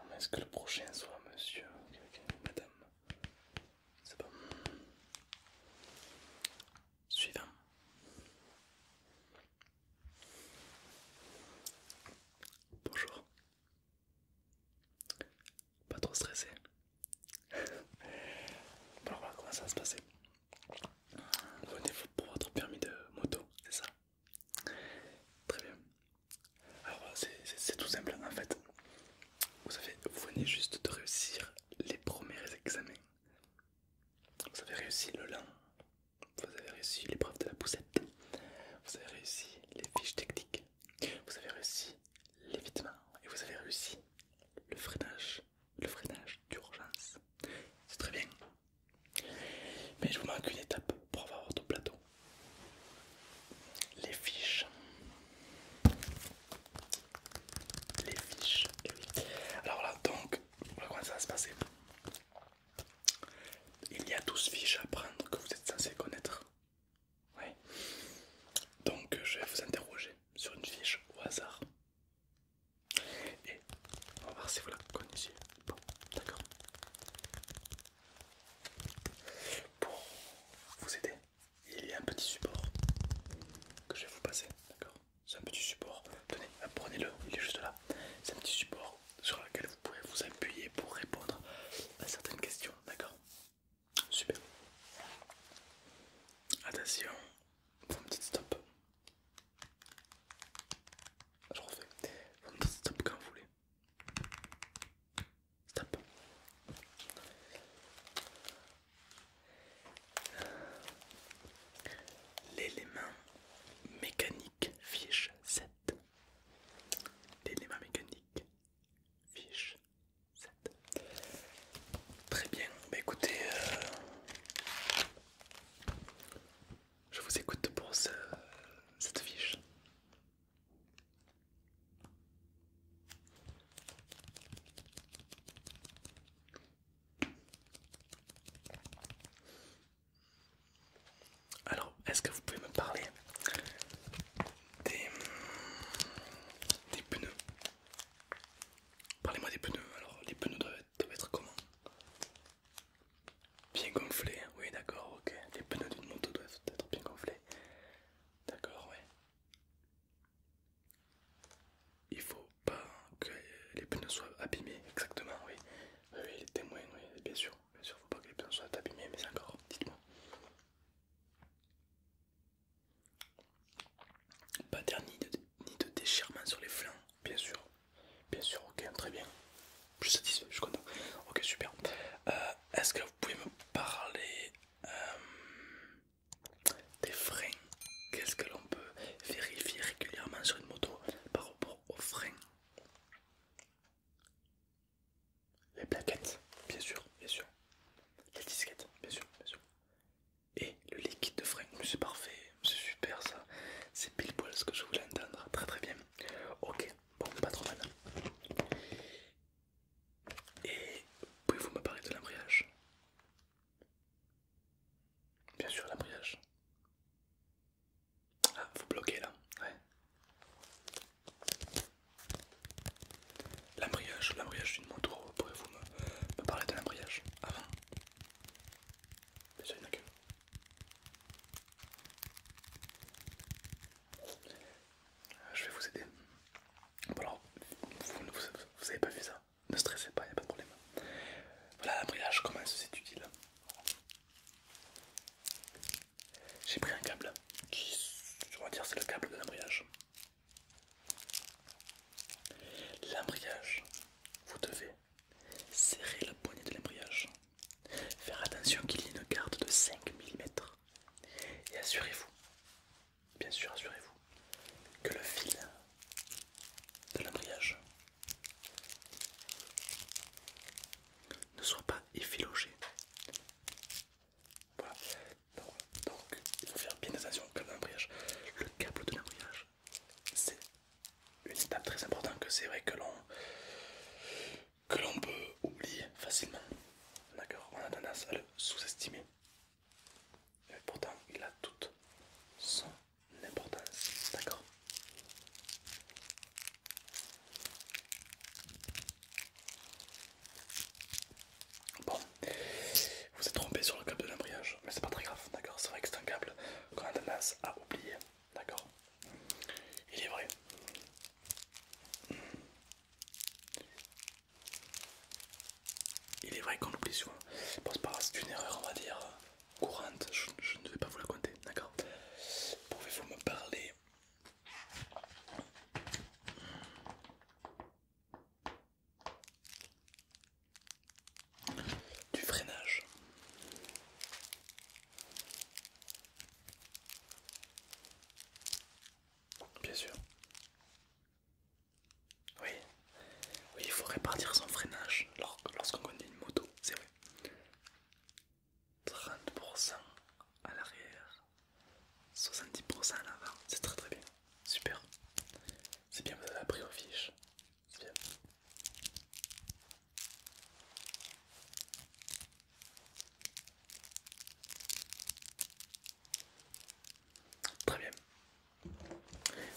Ah, est-ce que le prochain soit monsieur Madame C'est bon. Suivant. Bonjour. Pas trop stressé. alors on comment ça va se passer. Venez-vous pour votre permis de moto, c'est ça Très bien. Alors c'est tout simple en fait. Vous venez juste de réussir les premiers examens. Vous avez réussi le lin, vous avez réussi l'épreuve de la poussette, vous avez réussi les fiches techniques, vous avez réussi l'évitement et vous avez réussi le freinage, le freinage d'urgence. C'est très bien, mais je vous manque une étape pour avoir votre plateau. Les fiches. Les fiches. Eh Alors là, donc, voilà comment ça va se passer. Il y a 12 fiches à prendre que vous êtes censé connaître. Oui. Donc, je vais vous interroger sur une fiche au hasard. Et on va voir si vous la connaissez. Bon, d'accord. Pour vous aider, il y a un petit support que je vais vous passer, d'accord C'est un petit support, tenez, prenez-le, il est juste là. C'est un petit support sur lequel vous pourrez vous appuyer pour répondre à certaines questions, d'accord Super. Attention, un petit stop. Ah, je refais. Vous stop quand vous voulez. Stop. L'élément mécanique fiche 7. L'élément mécanique fiche 7. Très bien, bah écoutez, euh, je vous écoute pour cette fiche. Alors, est-ce que vous pouvez me parler des, pneus Parlez-moi des pneus. Alors, les pneus doivent être comment Bien gonflé, hein. oui d'accord, ok. Les pneus d'une moto doivent être bien gonflés. D'accord, ouais. Il faut pas que les pneus soient abîmés, exactement, oui. Oui, les témoins, oui, bien sûr. Bien sûr, faut pas que les pneus soient abîmés, mais encore, dites-moi. Pas ni ni de déchirement sur les flancs, bien sûr. Bien sûr, ok, très bien. Je suis satisfait, je suis content. Ok, super. Euh, est-ce que vous pouvez me parler euh, des freins Qu'est-ce que l'on peut vérifier régulièrement sur une moto par rapport aux freins Les plaquettes, bien sûr, bien sûr. Les disquettes, bien sûr, bien sûr. Et le liquide de frein, c'est parfait c'est super ça, c'est pile poil ce que je voulais entendre, très très bien. Ok, bon, pas trop mal. Et pouvez-vous me parler de l'embrayage Bien sûr, l'embrayage. Ah, vous bloquez là, ouais. L'embrayage, l'embrayage d'une moto, pouvez-vous me, parler de l'embrayage avant Mais il je vais vous aider. vous n'avez pas vu ça Ne stressez pas, il n'y a pas de problème. Voilà l'embrayage, comment c'est utile. J'ai pris un câble qui, je vais dire, c'est le câble de l'embrayage. L'embrayage, vous devez Serrez la poignée de l'embrayage. Faire attention qu'il y ait une garde de 5 mm. Et assurez-vous, bien sûr assurez-vous, que le fil de l'embrayage ne soit pas effiloché Voilà. Donc, il faut faire bien attention au câble de l'embrayage. Le câble de l'embrayage, c'est une étape très importante que c'est vrai que l'on que l'on peut oublier facilement. D'accord On a tendance à le sous-estimer. Pourtant, il a toute son importance. D'accord Bon, vous êtes trompé sur le câble de l'embrayage, mais c'est pas très grave, d'accord C'est vrai que c'est un câble qu'on a tendance à oublier. D'accord Il est vrai. Il est vrai qu'on l'oublie souvent. Bon, c'est pas c'est une erreur, on va dire, euh, courante. Je, ne vais pas vous la compter, d'accord Pouvez-vous me parler du freinage Bien sûr. Oui, oui, il faut répartir son freinage lorsqu'on conduit une moto, c'est vrai. 30% à l'arrière, 70% à l'avant, c'est très très bien, super. C'est bien, vous avez appris aux fiches. C'est bien. Très bien.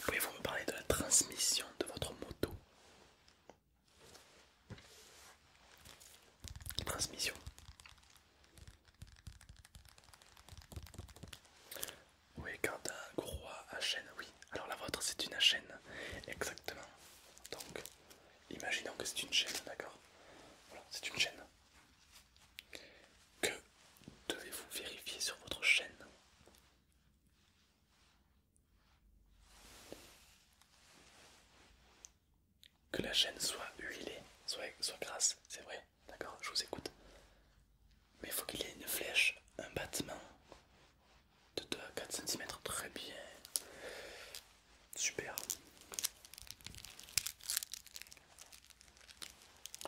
Pouvez-vous me parler de la transmission de votre moto Transmission. Oui, quand un gros à chaîne, oui. Alors la vôtre c'est une à chaîne, exactement. Donc Imaginons que c'est une chaîne, d'accord Voilà, c'est une chaîne. Que devez-vous vérifier sur votre chaîne Que la chaîne soit huilée, soit, soit grasse, c'est vrai, d'accord Je vous écoute. Mais il faut qu'il y ait une flèche, un battement, de 2 à 4 cm, très bien, super.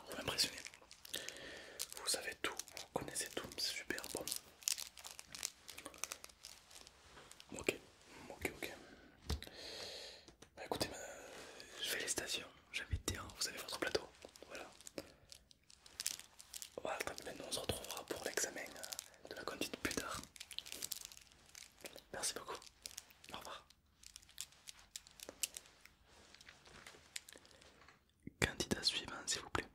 Vous m'impressionnez, vous savez tout, vous connaissez tout, c'est super bon. Ok, ok, ok. Bah écoutez, stations, j'habite terrain. vous avez votre plateau. Voilà. Voilà, tant pis, nous on se retrouvera pour l'examen euh, de la conduite plus tard. Merci beaucoup. Au revoir. Candidat suivant, s'il vous plaît.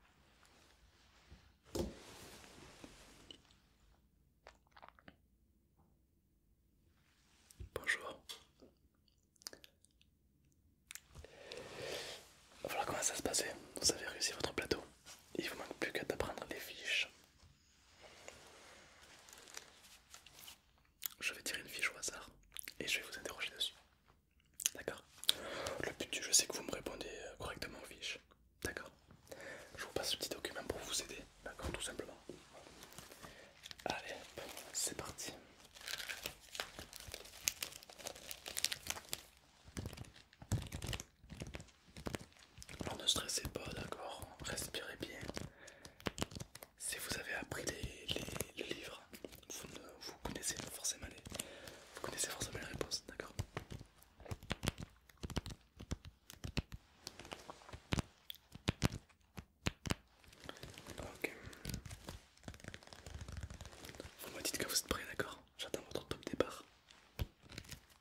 Bonjour. Voilà comment ça se passait. Vous avez réussi votre plateau il vous manque plus qu'à d'apprendre les fiches. Je vais tirer une fiche au hasard et je vais vous interroger dessus. D'accord Le but du jeu, c'est que vous me répondez euh, correctement aux fiches. D'accord Je vous passe ce petit document pour vous aider. D'accord Tout simplement. Allez, c'est parti. Alors ne stressez pas, d'accord Respirez bien. Si vous avez appris les, livres, vous, connaissez forcément les, connaissez forcément réponses, d'accord vous me dites que vous êtes prêt, d'accord J'attends votre top départ.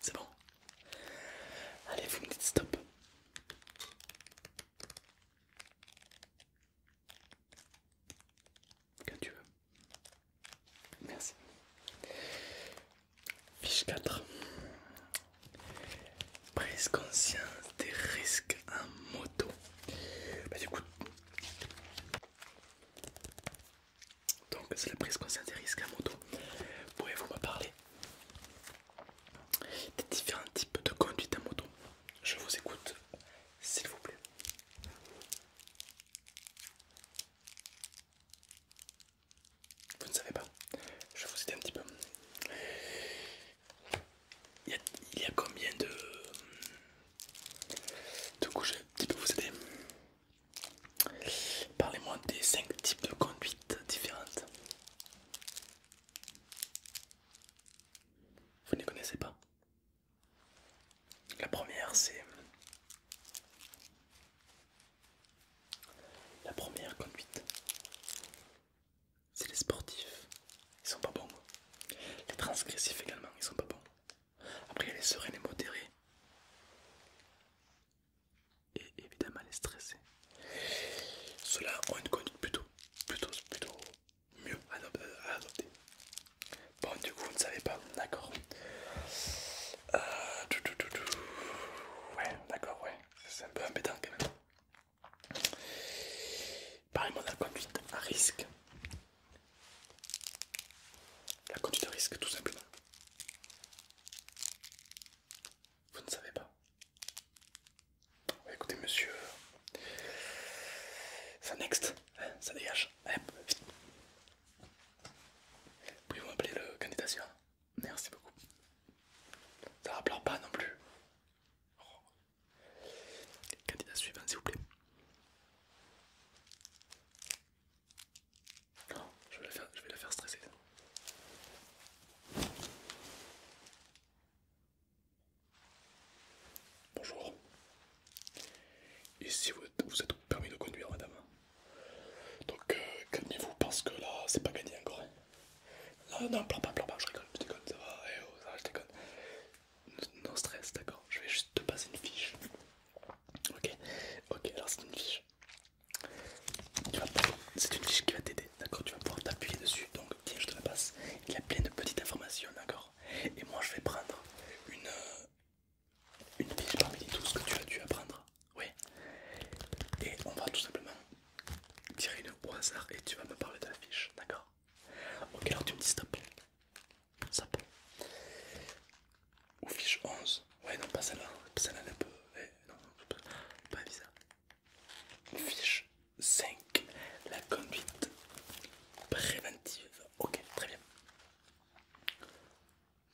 C'est bon. Allez, vous me dites stop. Quand tu veux. Merci. Fiche 4. Prise conscience des risques en moto. Bah, du coup, donc c'est la prise consciente des risques à moto. Pouvez-vous me parler des différents types de conduite à moto Je vous écoute, s'il vous plaît. Vous ne savez pas Je vous aider un petit peu il y, a, combien de... de qui Qui vous aider. Parlez-moi des 5 types de conduites différentes. Vous ne les connaissez pas La première, c'est... La première conduite, c'est les sportifs, ils sont pas bons. Les transgressifs également, ils sont pas bons. Après, il y les sereines et modérés. Et évidemment, les stressés. Ceux-là ont une conduite plutôt, plutôt, plutôt mieux à Bon, du coup, vous ne savez pas, d'accord. Euh, ouais, d'accord, ouais. C'est un peu embêtant quand même parlez de la conduite à risque. La conduite à risque, tout simplement. Vous ne savez pas. écoutez, monsieur, ça next, hein, ça dégage. Pouvez-vous le candidat Merci beaucoup. Ça ne pas non plus. Candidat suivant, s'il vous plaît. Non, je vais la faire, stresser. Bonjour. Ici, vous êtes, permis de conduire, madame. Donc, euh, calmez-vous parce que là, c'est pas gagné encore. non, non, pleure pas, pleure pas, je rigole, je déconne, ça va, eh oh, ça va, je déconne. Non stress, d'accord. Je vais juste te passer une fiche. Ok, ok, alors c'est une fiche. C'est une fiche qui va t'aider, d'accord Tu vas pouvoir t'appuyer dessus. Donc, tiens, je te la passe. Il y a plein de petites informations, d'accord Et moi, je vais prendre une, euh, une fiche parmi les tout ce que tu as dû apprendre. Oui. Et on va tout simplement tirer une au hasard et tu vas me parler de la fiche, d'accord Ok, alors tu me dis stop. Stop. Ou fiche 11. Ouais, non, pas celle-là. Celle-là, un peu. Eh, pas bizarre. Fiche 5. La conduite préventive. Ok, très bien.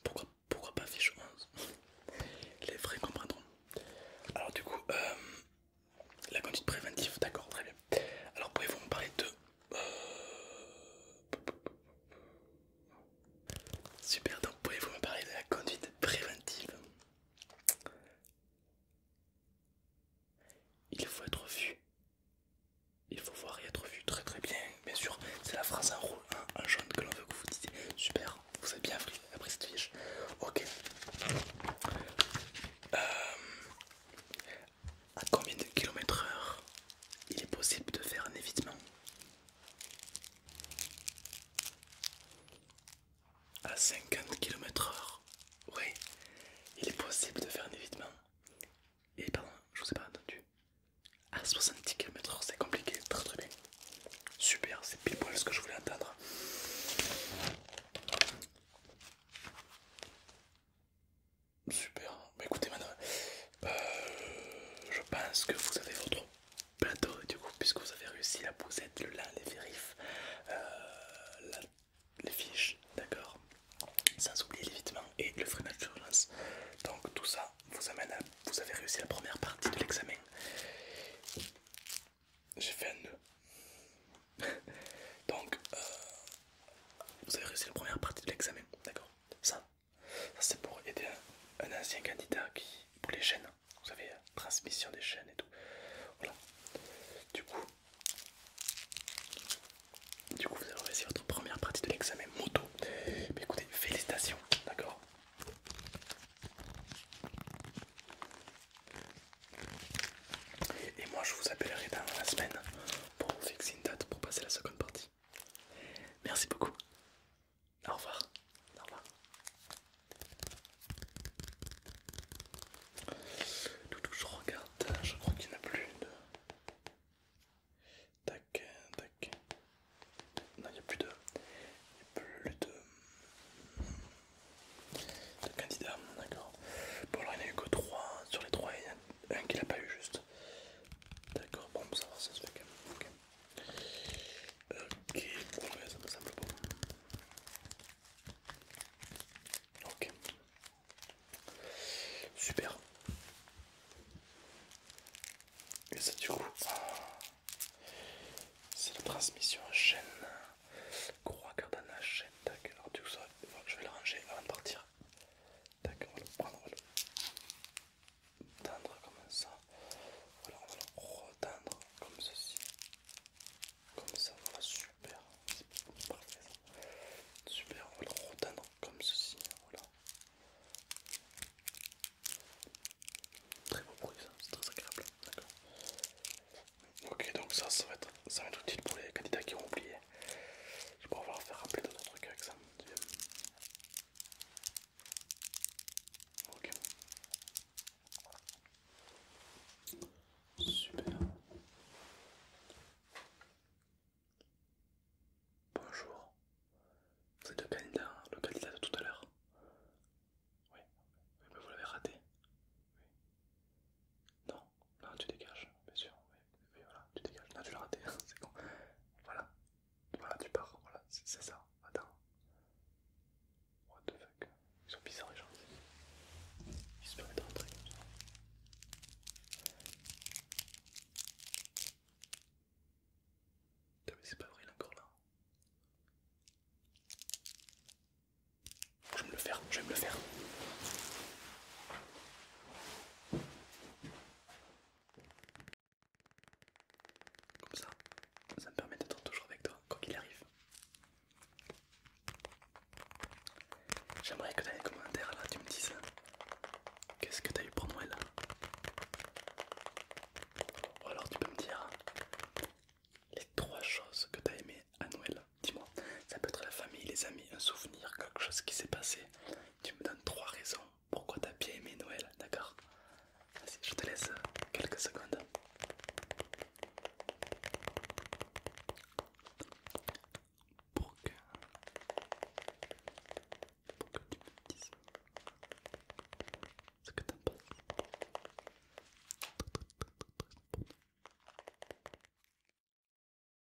Pourquoi, pourquoi pas fiche 11 Les vrais comprendront. Alors, du coup, euh, la conduite préventive, d'accord, très bien. Alors, pouvez-vous me parler de Super, donc pouvez-vous me parler de la conduite préventive Il faut être vu. Il faut voir et être vu. Très très bien. Bien sûr, c'est la phrase en rouge, en, jaune que l'on veut que vous disiez. Super, vous êtes bien après cette fiche. Ok. Euh, à combien de kilomètres heure il est possible de faire un évitement À 50 kilomètres heure, oui, il est possible de faire un évitement. Et pardon, je vous ai pas entendu. À 70 kilomètres heure, c'est compliqué, très très bien. Super, c'est pile poil ce que je voulais entendre. Super. Bah, écoutez maintenant, euh, je pense que vous avez votre plateau du coup, puisque vous avez réussi la poussette, le lin, les vérifs, euh, les fiches, d'accord Sans oublier l'évitement et le freinage d'urgence. Donc tout ça vous amène à... Vous avez réussi la première partie de l'examen. J'ai fait un nœud. Donc, euh, vous avez réussi la première partie de l'examen, d'accord Ça, ça c'est pour aider un, ancien candidat qui, pour les chaînes, hein. vous savez, euh, transmission des chaînes et tout. Voilà. Du coup, du coup vous avez réussi votre première partie de l'examen moto. Mais écoutez, félicitations, d'accord et moi je vous appellerai dans la semaine pour vous fixer une date pour passer la seconde partie. Merci beaucoup. Au revoir. Au revoir. Toutou, je regarde, je crois qu'il n'y en a plus de... Tac, tac. Non, il n'y a plus de... Il n'y a plus de... De candidats, d'accord. Bon alors il n'y en a eu que 3, sur les 3 il y a un qui l'a pas eu juste. D'accord, bon, ça va, ça se fait ok Ok, ça me semble Ok, super. Et ça, du coup, ah, c'est la transmission chaîne. croix cardan la chaîne, d'accord. Du coup, ça, je vais le ranger avant de partir. D'accord, on va le prendre, on va le tendre comme ça. Voilà, on va le retendre comme ceci. Comme ça, voilà, super. Super, on va le retendre comme ceci. Voilà. Très beau bruit, ça, c'est très agréable. D'accord. Ok, donc ça, ça va être ça va être utile pour les candidats qui ont oublié. Je pourrais leur faire rappeler d'autres trucs avec ça. Ok. Super. Bonjour. vous êtes le candidat de tout à l'heure. Oui. oui mais vous l'avez raté. Oui. Non. Non, ah, tu dégages, bien sûr. Oui, voilà, tu dégages. Non, tu l'as raté, c'est con. Voilà, voilà, tu pars. Voilà, c'est ça. Attends. What the fuck Ils sont bizarres, les gens. Ils se permettent de rentrer comme ça. T'as mais c'est pas vrai, il est encore là. Je vais me le faire, je vais me le faire. Comme ça, ça me permet d'être toujours avec toi, quoi qu'il arrive. J'aimerais que dans les commentaires là tu me dises hein. qu'est-ce que tu as eu pour Noël. Ou alors tu peux me dire hein, les trois choses que tu as aimé à Noël. Dis-moi, ça peut être la famille, les amis, un souvenir, quelque chose qui s'est passé tu me donnes trois raisons pourquoi t'as bien aimé Noël, d'accord Vas-y, je te laisse quelques secondes. pour que tu me dises ce que t'en penses.